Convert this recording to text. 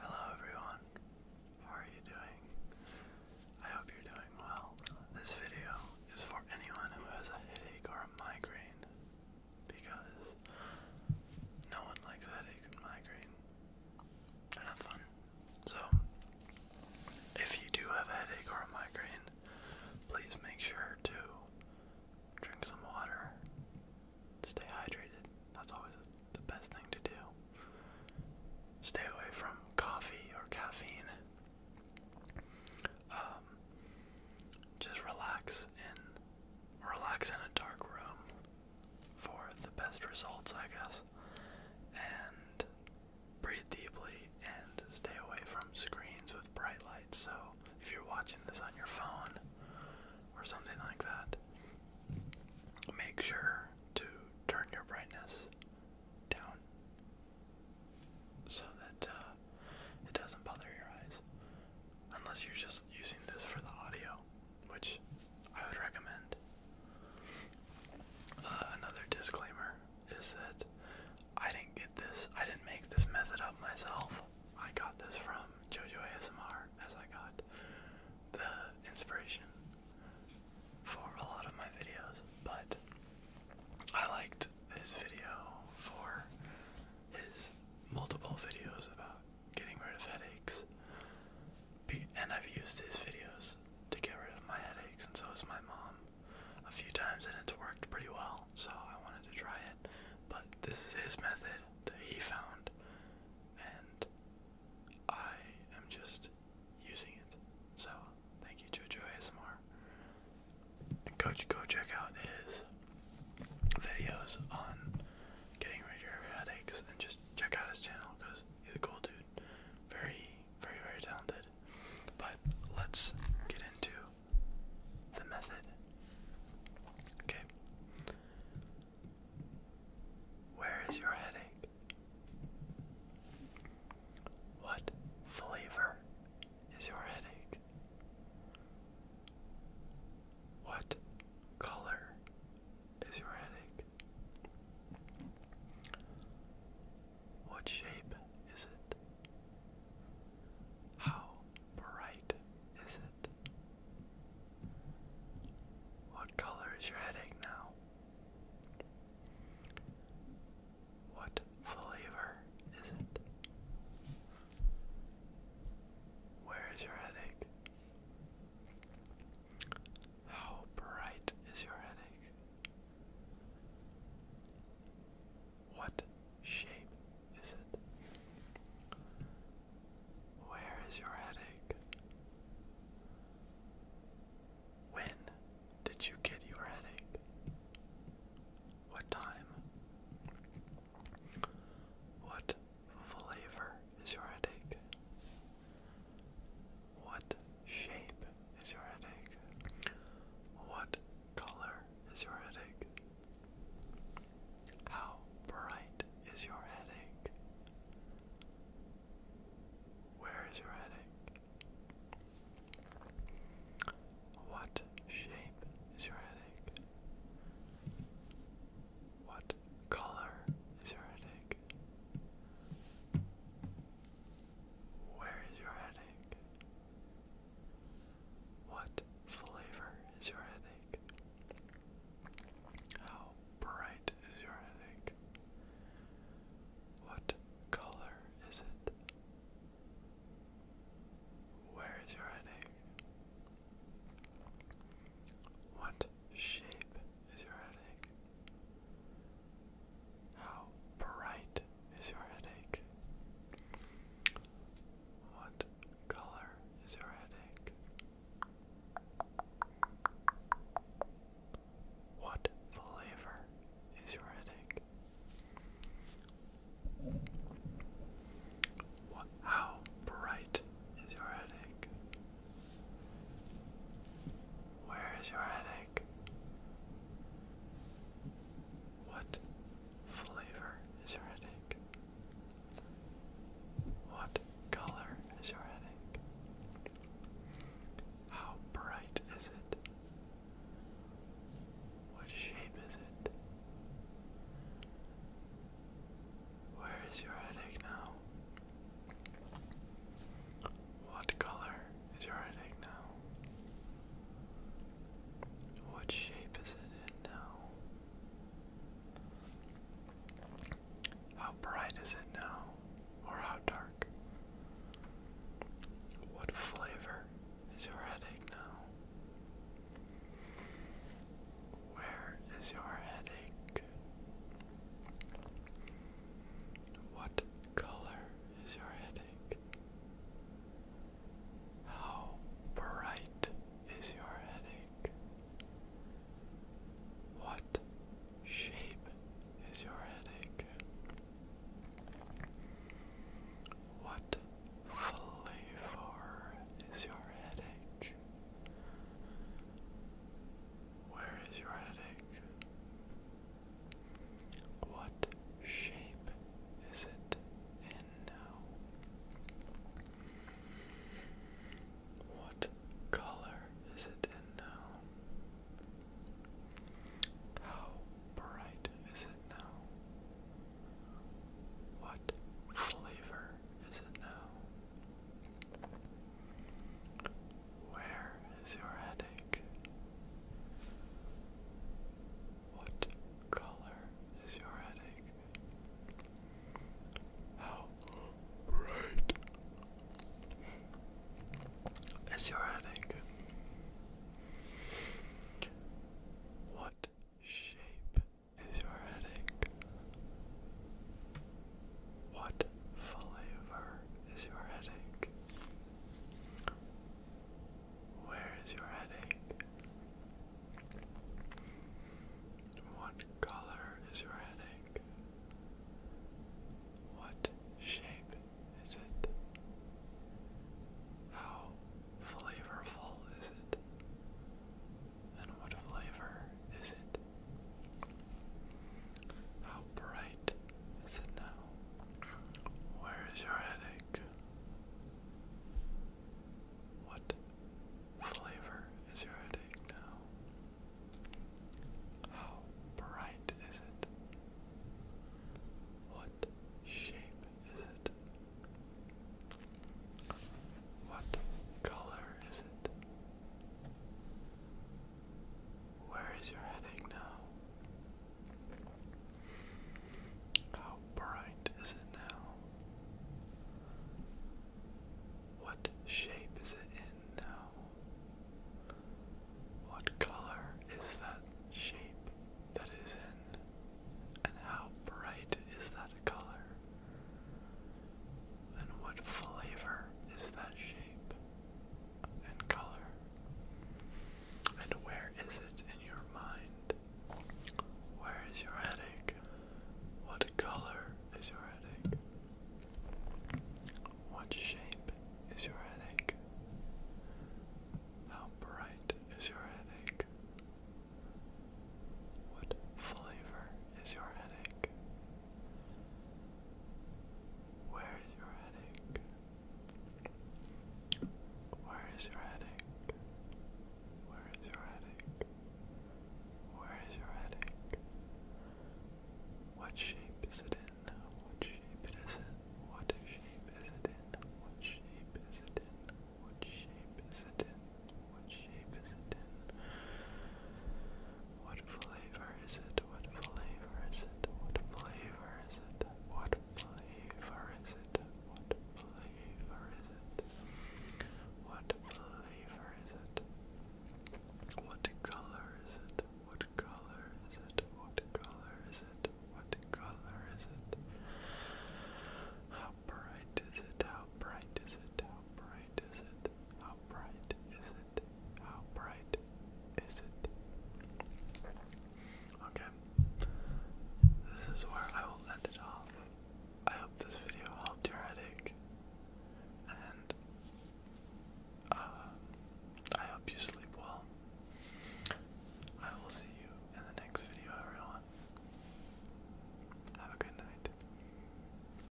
Hello everyone, how are you doing? I hope you're doing well. This video is for anyone who has a headache or a migraine because no one likes headache and migraine. not fun. So, if you do have a headache or a migraine, please make sure to drink some water, stay hydrated. That's always the best thing to do. Stay away from coffee or caffeine. Um, just relax in relax in a dark room for the best results, I guess. And breathe deeply and stay away from screens with bright lights. So if you're watching this on your phone, or something like that, make sure to turn your brightness down so that uh, it doesn't bother your eyes. Unless you're just using this for the audio, which I would recommend. Uh, another disclaimer is that I didn't get this, I didn't make this method up myself. I got this from JoJo ASMR as I got the inspiration for a lot of my videos, but I liked his video for his multiple videos about getting rid of headaches. And I've used his videos to get rid of my headaches, and so has my mom a few times, and it's worked pretty well. So I wanted to try it. But this is his method, he found, and I am just using it. So thank you, Jojo ASMR. And go go check out his videos on getting rid of your headaches, and just check out his channel because he's a cool dude, very, very, very talented. But let's get into the method. Okay. Where is your headache? What flavor is your headache? What color is your headache? What shape is it? How bright is it? What color is your headache now? What flavor is it? Where is your headache? How bright is your headache? What shape is it? Where is your headache? When did you get your headache? What time? What flavor is your headache? What shape is your headache? What color is your headache? How bright is your headache? Where is your headache? What shape is your headache? What color is your headache? Where is your headache? What flavor is your headache? How bright is your headache? What color is it? Where is your headache? What shape is your headache? How bright is your headache? What color is your headache? What flavor is your headache? how bright is your headache? Where is your headache? What flavor is your headache? What color is your headache? How bright is it? What shape is it? Where is your headache now? What color is your headache now? What shape is it in now? How bright is it now? Or how dark? What flavor is your headache now? Where is your headache? What color is your headache? How bright is your headache? What shape is your headache? What flavor is your headache? Where is your headache? What shape is it in now? What color is it in now? How bright is it now? What flavor is it now? Where is your headache? What color is your headache? How bright is your headache? What shape is your headache? What flavor is your headache? Where is your headache? What color is your headache? What shape is it? How flavorful is it? And what flavor is it? How bright is it now? Where is your headache? What flavor is your headache now? How bright is it? What shape is it? What color is it? Where is your heading now? How bright is it now? What shape is it in now? What color is that shape that is in? And how bright is that color? And what flavor is that shape? and color? And where is it in your mind? Where is your headache? What color is your headache? What shape is your headache? How bright is your headache? What flavor is your headache? Where is your headache? Where is your headache? Where is your headache? Where is your headache? What shape is it in? What shape it is in? What shape is it in? What shape is it in? What shape is it in? What shape is it in? What flavor is it? What flavor is it? What flavor is it? What flavor is it? What flavor is it? What flavor is it? What color is it? What color is it? What color is it? What color is it? How bright is it? How bright is it? How bright bright is it? How bright is it? How bright is it? Okay. This is where I will end it off. I hope this video helped your headache. And um, I hope you sleep well. I will see you in the next video, everyone. Have a good night.